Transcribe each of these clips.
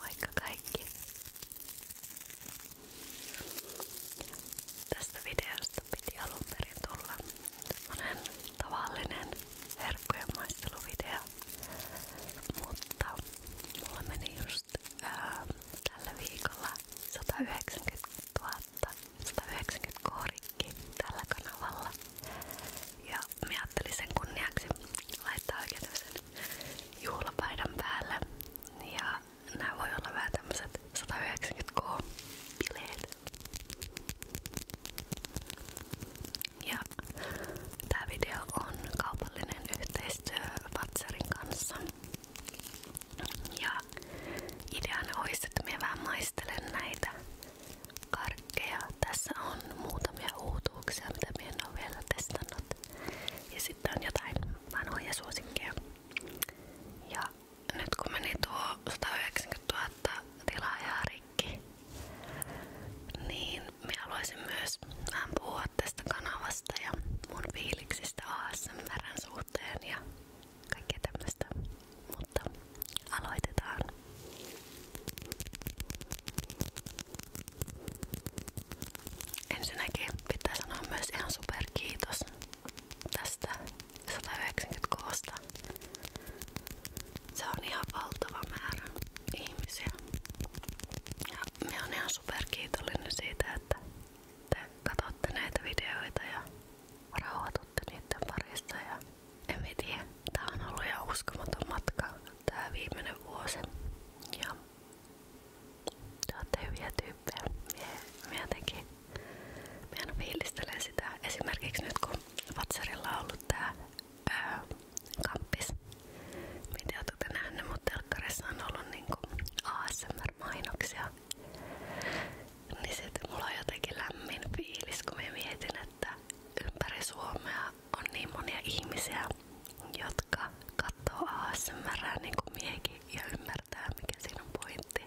Vaikka kaikki tästä videosta piti alun perin tulla semmonen tavallinen herkkujen maisteluvideo, mutta mulla meni just ää, tällä viikolla 190 000 190 kohdikki tällä kanavalla ja mä ajattelin sen kunniaksi laittaa oikein tämmösen juhlapaidan päälle. Ja nämä voi olla vähän tämmöset 190k bileet. Ja tää video on kaupallinen yhteistyö Vatsarin kanssa. Ja ideana olisi, että mä vähän maistelen näitä karkkeja. Tässä on muutamia uutuuksia, mitä minä en ole vielä testannut. Ja sitten on jotain vanhoja suosikkeja. Ja nyt kun meni tuo 190 000 tilaajaa rikki, niin minä haluaisin myös vähän puhua tästä kanavasta ja mun fiiliksistä ASMRn suhteen ja kaikkea tämmöistä. Mutta aloitetaan. Ensinnäkin pitää sanoa myös ihan super kiitos tästä 196. Se on ihan valtava määrä ihmisiä. Ja me on ihan super kiitollinen siitä, että te katsotte näitä videoita ja rauhoitutte niiden parissa ja en mä tiedä. Tää on ollut ihan uskomaton matka tää viimeinen vuosi. Ja te ootte hyviä tyyppejä. Mä jotenkin mä aina fiilistelen sitä. Esimerkiksi nyt kun Vatsarilla on ollut tää öö, kamppis. Mitä ootte nähneet, mutta telkkarissa on ollut niinku ASMR-mainoksia. Niin sit mulla on jotenkin lämmin fiilis, kun mä mietin, että ympäri on niin monia ihmisiä, jotka katsoo ASMR niin kuin miekin ymmärtää mikä siinä pointti.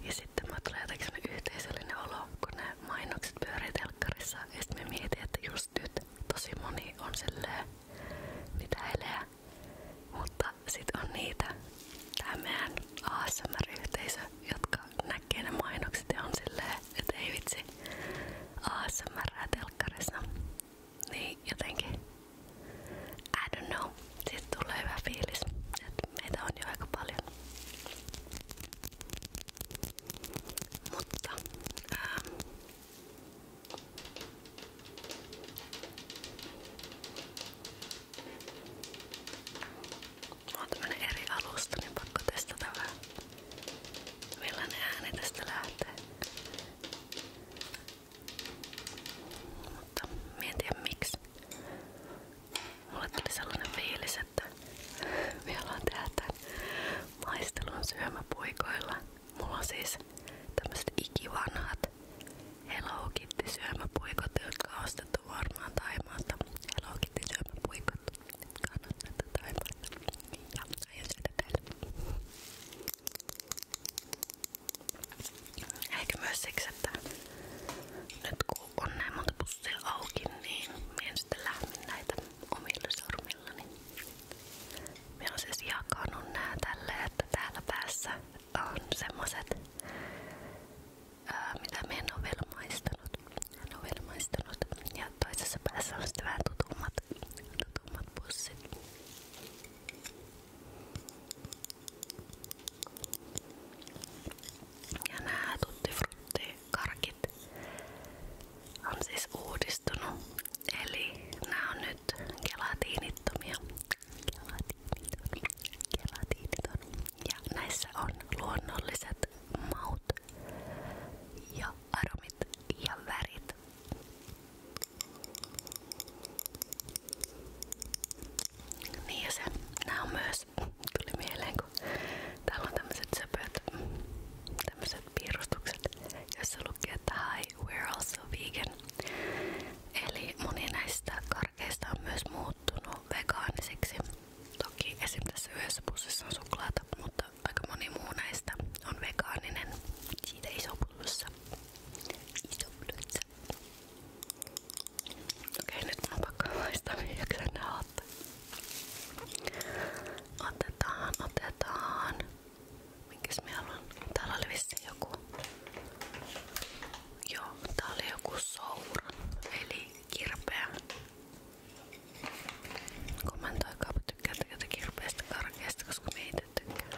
Ja sitten mä tulee jotenkin sellainen olo, kun ne mainokset pyörii telkkarissa ja sitten mä mietin, että just on silleen mitä eleä. Mutta sit on niitä, tämä meidän ASMR-yhteisö, jotka koska näkee ne mainokset ja on silleen, että ei vitsi ASMR telkkarissa. Niin jotenkin, I don't know, siitä tulee hyvä fiilis, että meitä on jo aika paljon. Mutta ää, ähm, Mulla on tämmönen eri alusta, niin pakko testata vähän millainen ääni tästä lähtee. Mutta mietin miksi. Mulle tuli sellainen fiilis, että me ollaan tehdä tämän maistelun syömäpuikoilla. Mulla on siis tämmöset ikivanhat Hello Kitty syömäpuikot, jotka on ostettu varmaan Taimaasta. Hello Kitty syömäpuikot. Kannattaa tätä niin ja aion syödä teille. Ehkä myös siksi, että nyt kun on näin monta pussia auki, niin minä en sitten lämmin näitä omilla sormillani. Niin minä olen siis jakanut nää tälle, että täällä päässä on semmoset me en ole vielä maistanut. toisessa päässä on sitten vähän tutummat, Ja nämä tutti frutti karkit siis uudistunut. Eli nämä on nyt gelatiinittomia. Gelatiiniton. Gelatiiniton. Ja näissä on luonnolliset tunnistat ja aromit ja värit. Niin se, nää on myös, tuli mieleen kun täällä piirustukset, jossa lukee, että hi, we're also vegan. Eli moni näistä karkeista on Toki esim. tässä yhdessä pussissa on suklaata, mutta aika moni muu näistä on vegaaninen. Siitä iso plussa. Iso plussa. Okei, nyt mun on pakko maistaa, jaksan nää ottaa. Otetaan, otetaan. Minkäs me haluan? Täällä oli vissiin joku... Joo, tää oli joku souran, eli kirpeä Kommentoikaapa tykkäätte jotenkin rupeista karkeista, koska me ei itse tykkää.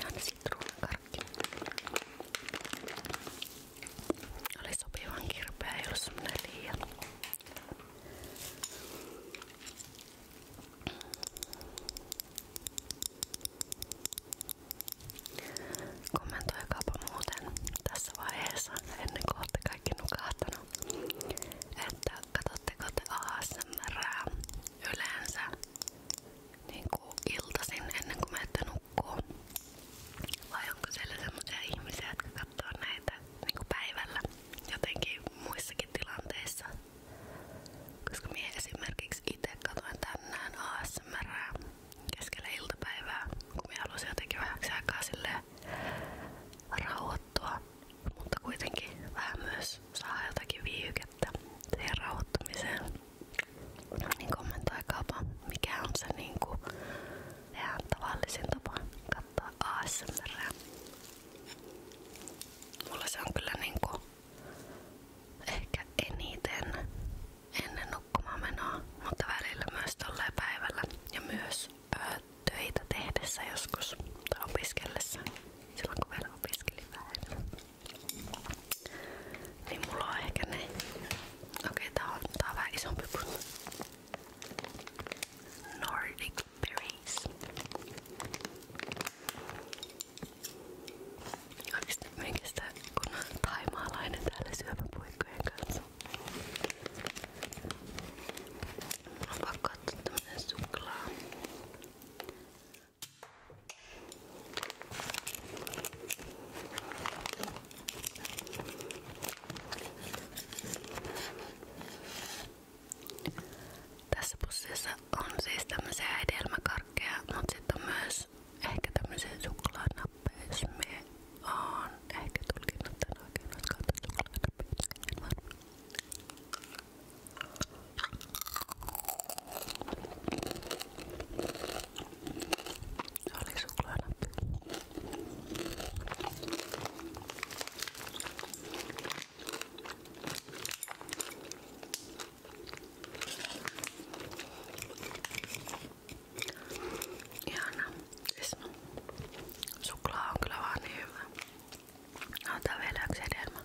Ja ne sitruunakarkki. Oli sopivan kirpeä, ei ollut semmonen liian. Kommentoikaapa muuten tässä vaiheessa ennen kohta kaikki nukahtaa sanoi, että katsotteko te ASMRää yleensä niin kuin iltasin ennen kuin menette nukkuu. Vai onko siellä semmoisia ihmisiä, jotka katsoo näitä niin kuin päivällä jotenkin muissakin tilanteissa? Koska minä esimerkiksi itse katsoin tänään ASMRää keskellä iltapäivää, kun minä halusin jotenkin vähäksi aikaa silleen rauhoittua, mutta kuitenkin vähän myös saa jotakin viihykettä siihen rauhoittumiseen. Niin kommentoikaapa, mikä on se niin kuin, ihan tavallisin tapa katsoa Mulla se on kyllä niin ehkä eniten ennen nukkumaan mutta välillä myös tolleen päivällä ja myös töitä tehdessä joskus tai opiskellessa, silloin kun vielä opiskelin vähän. Niin mulla on ehkä ne. Okei, tää on, tää on vähän isompi puno. Nordic berries. Oikeesti minkästä kun on taimaalainen täällä syöpäpuikkojen kanssa. Mä oon pakko ottaa tämmönen suklaa. Tässä pussissa on siis tämmöisiä hedelmäkarkkeja, mutta sitten on myös ehkä tämmöisiä suklaanappeja, jos me on ehkä tulkinnut tän oikein, olisiko otettu laita pitkin, en varma. Se oli suklaanappi. Ihana. Suklaa on kyllä vaan niin hyvä. Otetaan vielä yksi hedelmä.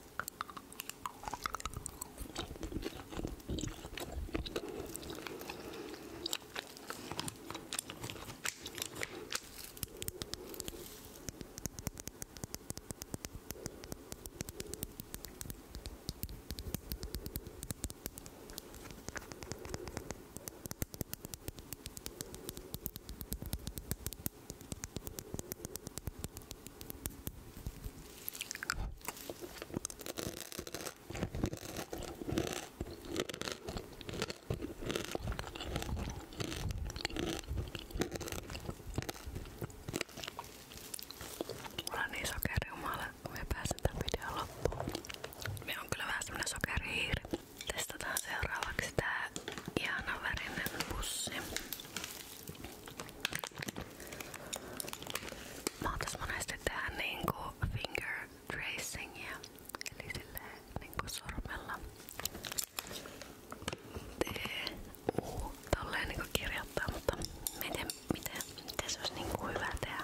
Mulla on niin sokeriumala, kun mä pääsen tämän videon loppuun. Me on kyllä vähän semmonen sokerihiiri. Testataan seuraavaksi tää ihana värinen pussi. Mä oon tässä monesti tehdä niinku finger tracingia, eli silleen niinku sormella. T-U, tolleen niinku kirjoittaa, mutta miten, miten, miten se olisi niinku hyvä tehdä?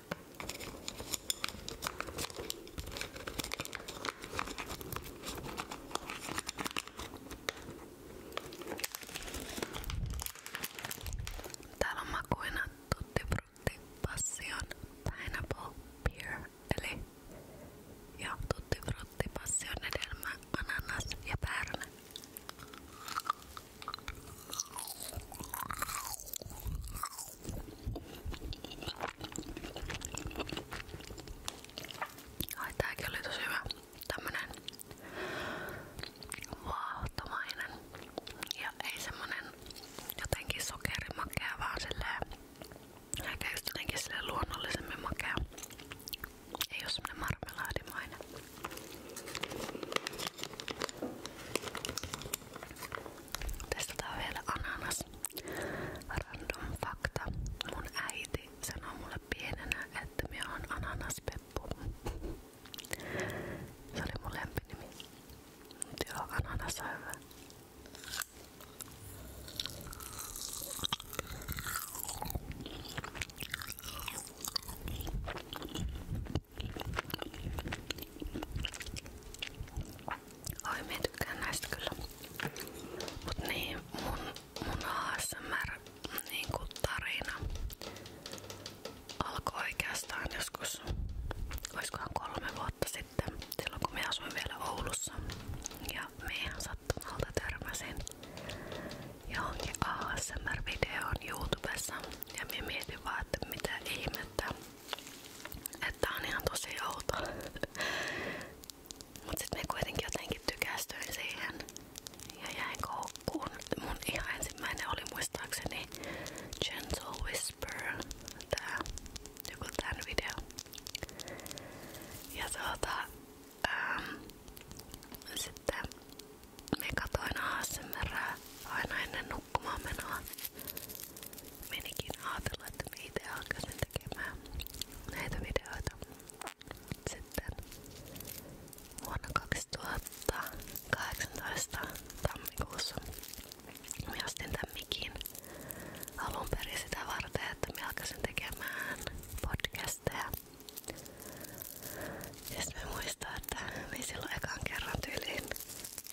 Täällä on makuina Tutti Frutti Passion Pineapple Beer eli ja Tutti Frutti Passion hedelmä, ananas ja päärynä. Ai tääkin oli tosi hyvä. Tämmönen vaahtomainen. Ja ei semmonen jotenkin sokerimakea, vaan silleen ehkä just jotenkin silleen luonnollisemmin makea. Ei oo semmonen marmelaadimainen. Testataan vielä ananas. Random fakta. Mun äiti sanoi mulle pienenä, että minä oon ananaspeppu. Se oli mun lempinimi. Mut joo, ananas on hyvä. Oi, mä tykkään näistä niin, mun, mun niin kuin alkoi oikeastaan joskus, oiskohan kolme vuotta sitten, silloin kun asuin vielä Oulussa. Ja meihän sattumalta törmäsin johonkin ASMR-videoon YouTubessa. Ja minä mietin vaan, että mitä ihmettä. Että on ihan tosi outo. Mut sit me kuitenkin jotenkin tykästyin siihen ja jäin koukkuun. Mun ihan ensimmäinen oli muistaakseni Gentle Whisper. Tää, joku tän video. Ja tuota, ähm, sitten me katoin ASMR aina ennen nukkumaan menoa. Menikin ajatella, että me itse alkaisin tekemään näitä videoita. Sitten vuonna 2018 tammikuussa me ostin tämän mikin alun perin sitä varten, että me alkaisin tekemään podcasteja. Ja sit siis mä muistan, niin silloin ekan kerran tyyliin,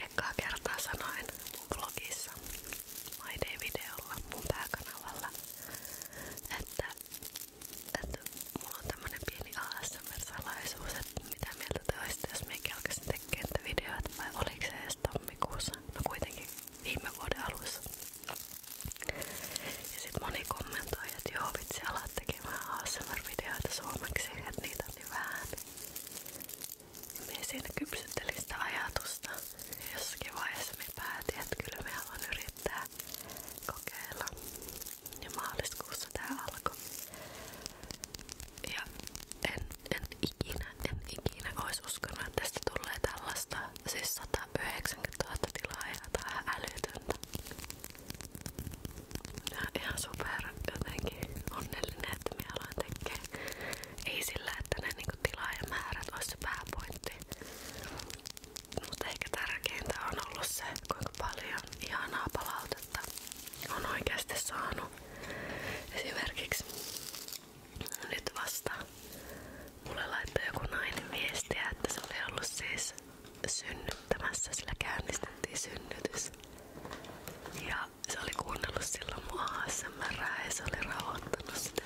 ekaa kertaa sanoin mun blogissa, My Day-videolla, mun että, että mulla pieni ASMR-salaisuus, että mitä mieltä te olisitte, jos me kelkäsin tekemään no viime vuoden alussa. Ja sit moni kommentoi, että joo vitsi alat tekemään asmr suomeksi, että niitä mieltäni vähän. Minä siinä kypsyttelin sitä ajatusta. Jossakin vaiheessa minä päätin, että kyllä minä haluan yrittää kokeilla. Ja maaliskuussa tää alkoi. Ja en, en ikinä, en ikinä olisi uskonut, että tästä tulee tällaista. Siis 190 000 tilaajaa, tää on älytöntä. Minä olen ihan super jotenkin onnellinen, että Ei sillä, että ne niinku tilaajamäärät olisi se pääpointti. Mutta ehkä tärkeintä on ollut se, kuinka paljon ihanaa palautetta on oikeasti saanut. Esimerkiksi nyt vasta mulle laittoi joku nainen viestiä, että se oli synnyttämässä, sillä käynnistettiin synnytys. Ja se oli kuunnellut silloin mun ASMR ja se oli rauhoittanut sitä.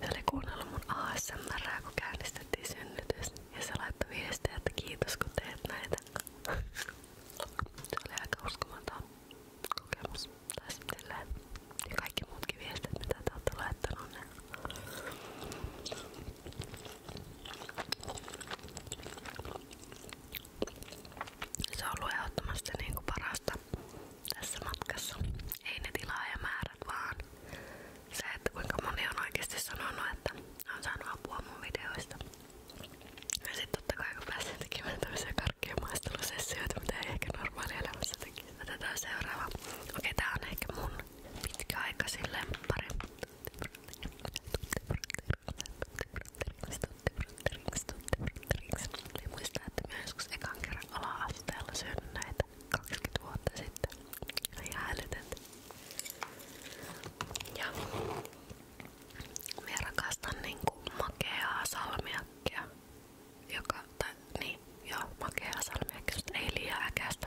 Se oli kuunnellut mun ASMR kun käynnistettiin synnytys. Ja se laittoi viestiä, että kiitos kun teet näitä. se oli aika uskomaton kokemus. Tai silleen. Ja kaikki muutkin viestit, mitä te olette laittaneet. Se on ollut ehdottomasti niinku parasta tässä matkassa. Ei ne tilaa ja määrät vaan se, että kuinka moni on oikeasti sanonut, että on saanut apua mun videoista. Ja sit totta kai kun pääsee tekemään tämmöisiä karkkien maistelusessioita, mitä ei ehkä normaalielämässä tekisi. Otetaan seuraava. Okei, tää on ehkä mun pitkäaikaisin lemppari. Eli muistaa, että minä joskus ekan kerran ala-asteella syön sitten. Ja hälytet. Ja minä rakastan niinku makeaa salmiakkia. Joka, tai niin, joo, makeaa ei liian äkästä.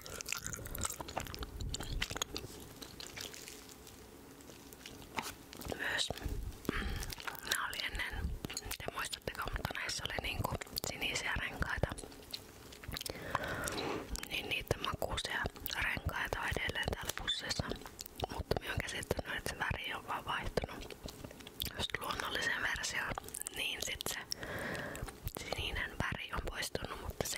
Myös ennen, te mutta näissä oli niinku sinisiä renkaita. Niin niitä makuisia renkaita on edelleen täällä Mutta minä olen käsittänyt, että se on vaan vaihtunut just luonnolliseen Niin sit sininen väri on poistunut, mutta se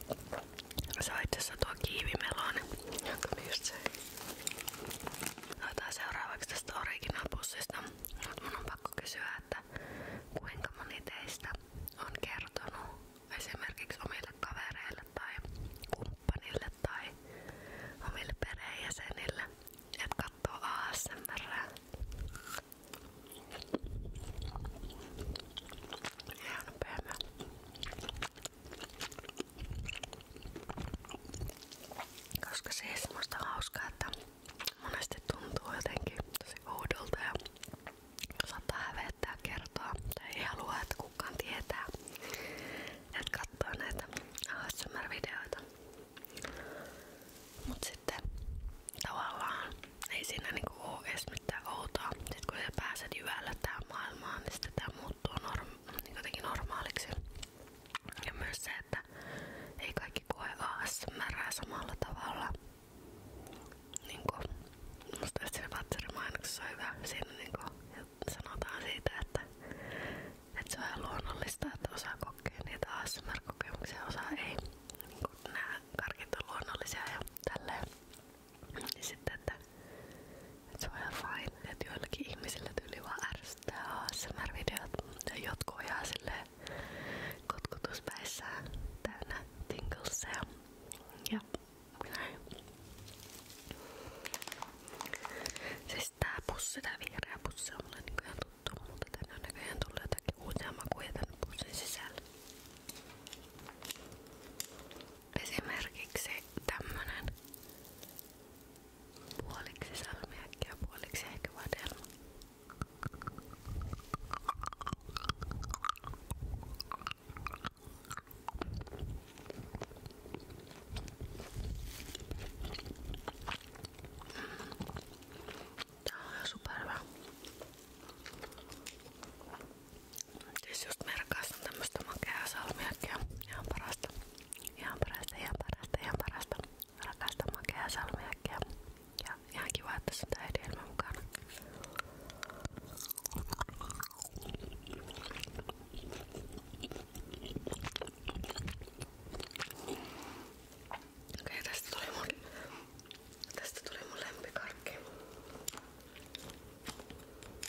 Saitsessa tuo kiivimeloni, jonka me just söin. Otetaan seuraavaksi tästä originalpussista. Mut mun on pakko kysyä, että kuinka moni teistä on kertonut esimerkiksi omille kavereille tai kumppanille tai omille perheenjäsenille, että katsoo ASMR. Ihan pöhmä. Koska se ei hauskaa, että monesti tuntuu jotenkin tosi oudolta ja saattaa hävettää kertoa tai ei kukaan tietää, että katsoo näitä ASMR-videoita. Mut sitten tavallaan ei siinä niinku oo edes mitään outoa. Sit kun sä pääset jyvällä tähän maailmaan, niin sitten tämä muuttuu norm- niin jotenkin normaaliksi. Ja myös se, että ei kaikki koe ASMRää samalla tavalla. Niin kuin, musta siinä Vatsarin mainoksessa on hyvä. Siinä niin kuin, sanotaan siitä, että, että se on ihan luonnollista, että osa kokee niitä ASMR-kokemuksia, osa ei. Niin kuin, nämä karkit on luonnollisia ja tälleen. Niin sitten, että, että se on ihan fine, että joillakin ihmisillä tyyli vaan ärsyttää ASMR-videot ja jotkut on ihan silleen kotkutuspäissään täynnä tinglesia ja näin. Siis tää pussi, tää vihreä pussi on mulle niinku ihan tuttu, mutta tänne on näköjään tullut jotakin uusia makuja tänne pussin sisälle. Esimerkiksi tämmönen puoliksi salmiakki ja puoliksi ehkä vadelma. Tää on ihan supervä. Siis just merkaassa on tämmöstä makeaa salmiakkia. Ihan parasta. Ihan parasta, ihan parasta, ihan parasta. Rakasta makeaa salmiakkia. Ja ihan kiva, että sitä ei mukana. Okei, okay, tästä tuli mun, tästä tuli mun lempikarkki.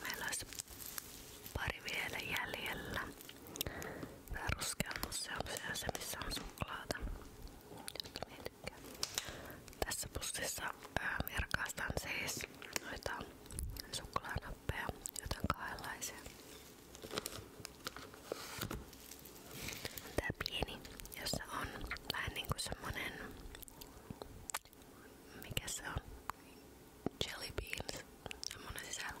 Meillä olisi pari vielä jäljellä. Tää ruskea museo on se missä on suklaata josta mä tykkään. Tässä pussissa merkaistan siis noita suklaanappeja, jotain kahdenlaisia. Tää pieni, jossa on vähän niinku semmonen mikä se on? Jelly beans. Semmonen sisällä.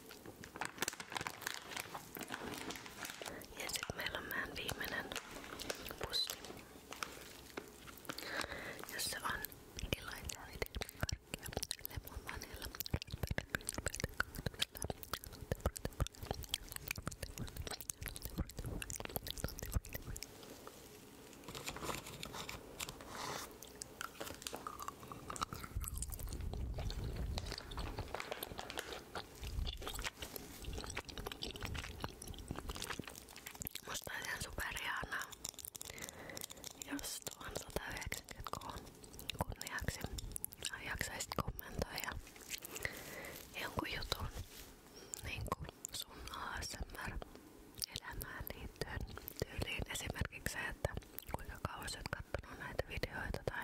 Ja sitten meillä on meidän viimeinen pussi. Jossa on kilaitäiden karkkia, lemonvanilla, Musta olisi ihan superihanaa, jos tuon 190K kunniaksi jaksaisit kommentoida jonkun jutun niin kuin sun ASMR-elämään liittyen tyyliin. Esimerkiksi se, että kuinka kauan olet kattonut näitä videoita tai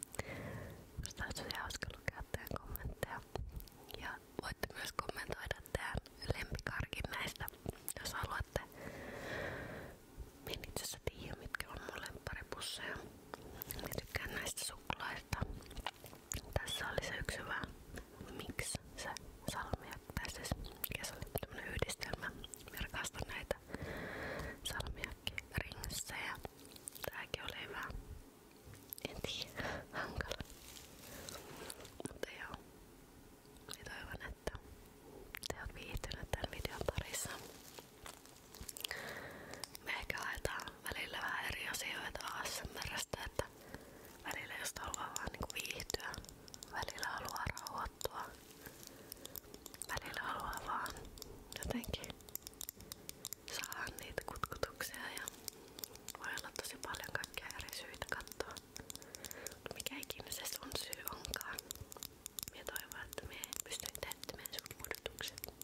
Musta olisi tosi hauska lukea teidän kommentteja. Ja voitte myös kommentoida teidän lempikarkin näistä, jos haluatte. Mä en itse asiassa tiedä, mitkä on mun lemparipusseja. Mä tykkään näistä suklaista. Tässä oli se yksi hyvä. Miksi se salmiak? Tai siis mikä se oli? Tämmönen yhdistelmä. Mä rakastan näitä salmiakki ringsejä. Tääkin oli hyvä. En tiedä. Hankala. Mutta joo. Ja toivon, että te oot viihtyneet tämän videon parissa. Me ehkä haetaan välillä vähän eri asioita ASMRstä, että välillä jos haluaa vaan niinku viihtyä, välillä haluaa rauhoittua, välillä haluaa vaan jotenkin saadaan niitä kutkutuksia ja voi olla tosi paljon kaikkia eri syitä katsoa. Mikä ikinä se sun syy onkaan. Mie toivon, että me pystyn täyttämään sun odotukset.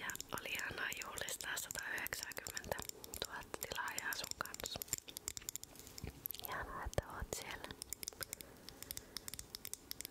Ja oli ihanaa juhlistaa 190 000 tilaajaa sun kanssa. Ihanaa, että oot siellä.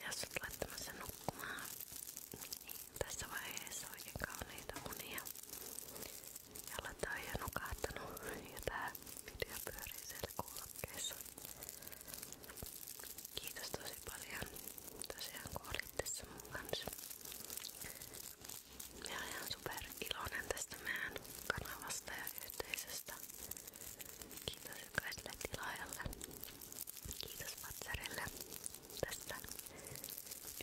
Ja sit laittamassa nukkumaan. Niin, tässä vaiheessa oikein kauniita unia. Jalat on jo nukahtanut ja tää video pyörii siellä kuulokkeissa. Kiitos tosi paljon tosiaan kun olit tässä mun kanssa. Mä olen ihan super iloinen tästä meidän kanavasta ja yhteisöstä. Kiitos jokaiselle tilaajalle. Kiitos Patsarille tästä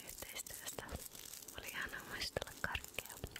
yhteistyöstä. Oli ihana muistella karkkia.